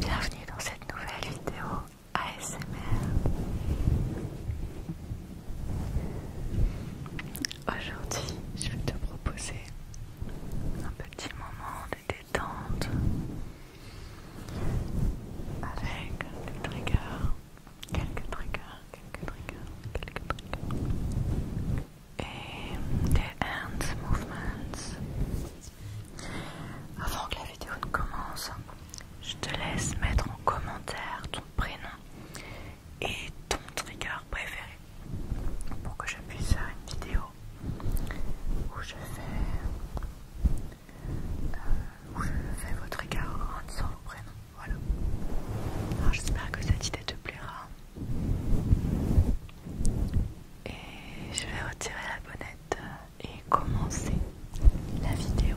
Bienvenue dans cette nouvelle vidéo ASMR. Aujourd'hui, je vais te proposer un petit moment de détente avec des triggers quelques triggers, quelques triggers, quelques triggers. Et des hand movements. Avant que la vidéo ne commence, je te laisse mettre en commentaire ton prénom et ton trigger préféré pour que je puisse faire une vidéo où je fais euh, où je fais votre écart en disant vos prénoms. Voilà. Alors j'espère que cette idée te plaira. Et je vais retirer la bonnette et commencer la vidéo.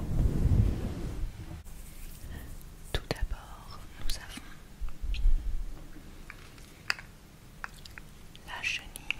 Tout d'abord, nous avons la chenille,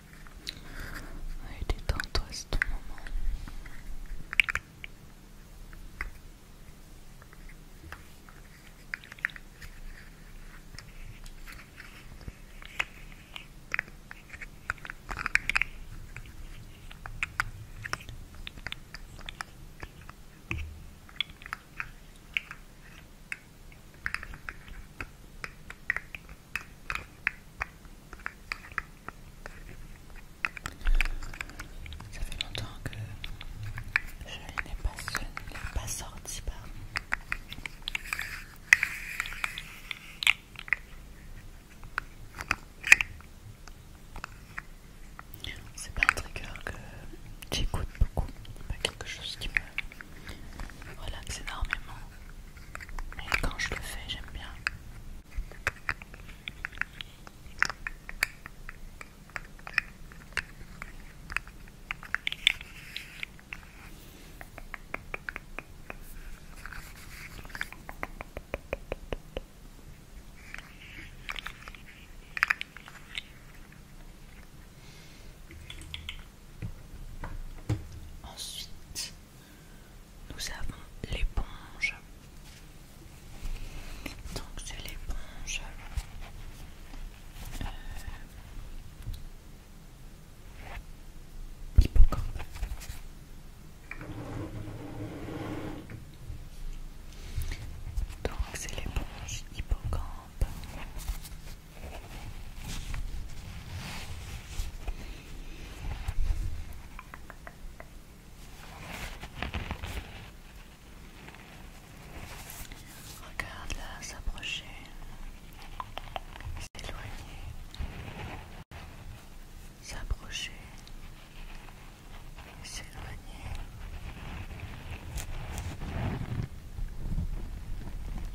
Ouais, détends-toi, c'est ton moment. Ça fait longtemps que je n'ai pas, pas sorti, C'est pas un trigger que j'écoute beaucoup, pas quelque chose qui me relaxe énormément. Mais quand je le fais, j'aime bien. Ensuite, nous avons l'éponge. Donc c'est l'éponge. Euh, hippocampe. Donc c'est l'éponge hippocampe. Regarde-la s'approcher, s'éloigner, s'approcher, s'éloigner.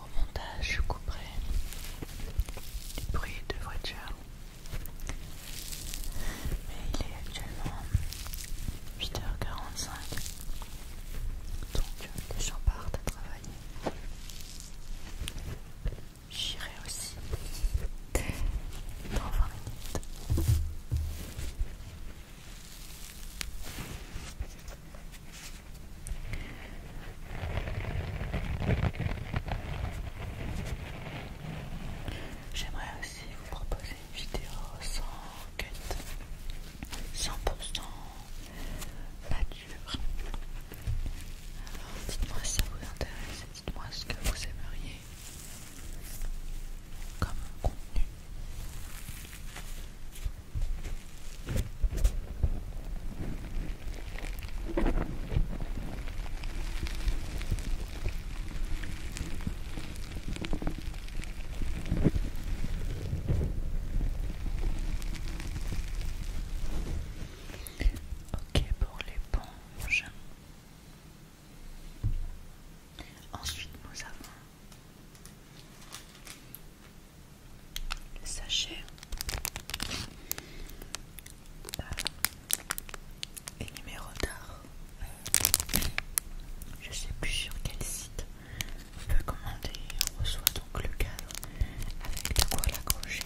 Au montage, je couperai les bruits de voiture. Mais il est actuellement 8h45. Donc euh, les gens partent à travailler. J'irai aussi dans 20 minutes. J'aimerais aussi vous proposer une vidéo sans cut, 100% nature. Alors dites-moi si ça vous intéresse, dites-moi ce que vous aimeriez comme contenu. Ok pour l'éponge. Ensuite, nous avons le sachet euh, et numéro d'art euh, je sais plus sur quel site on peut commander on reçoit donc le cadre avec de quoi l'accrocher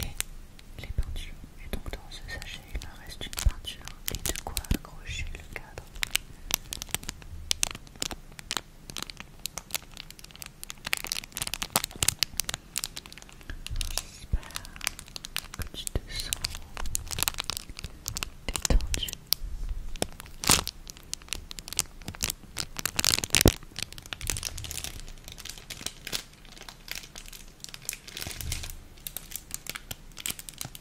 et les peintures et donc dans ce sachet il en reste une peinture et de quoi accrocher le cadre J'espère que tu te sens détendu.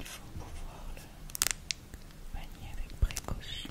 Il faut pouvoir le manier avec précaution.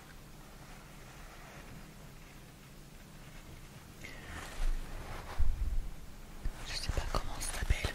Je sais pas comment ça s'appelle.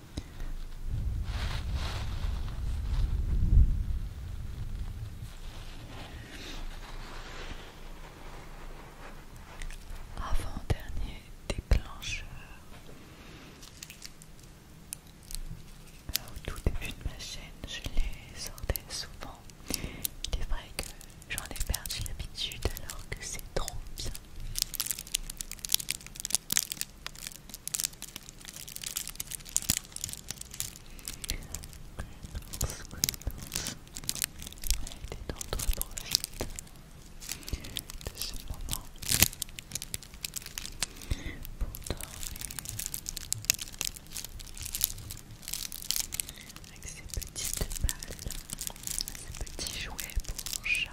Avant-dernier déclencheur. Au tout début de ma chaîne, je les sortais souvent. C'est vrai que j'en ai perdu l'habitude alors que c'est trop bien avec été dans donc de ce moment pour dormir avec ces petites balles, petits jouets pour chat.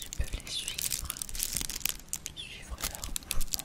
Tu peux les suivre, suivre leurs mouvements.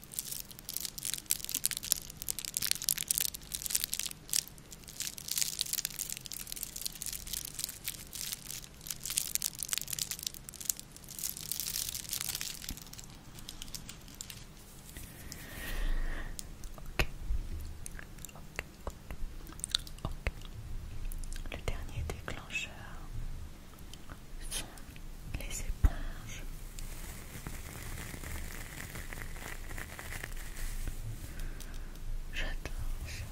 Le dernier déclencheur sont les éponges J'adore ça.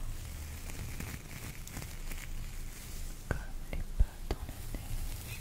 Comme les pas dans la neige.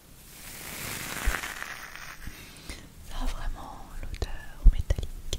Ça a vraiment l'odeur métallique.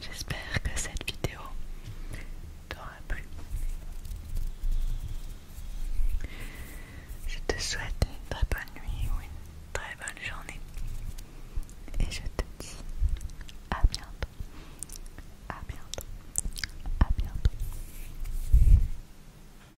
J'espère que cette vidéo t'aura plu. Je te souhaite une très bonne nuit ou une très bonne journée. Et je te dis à bientôt. À bientôt. À bientôt.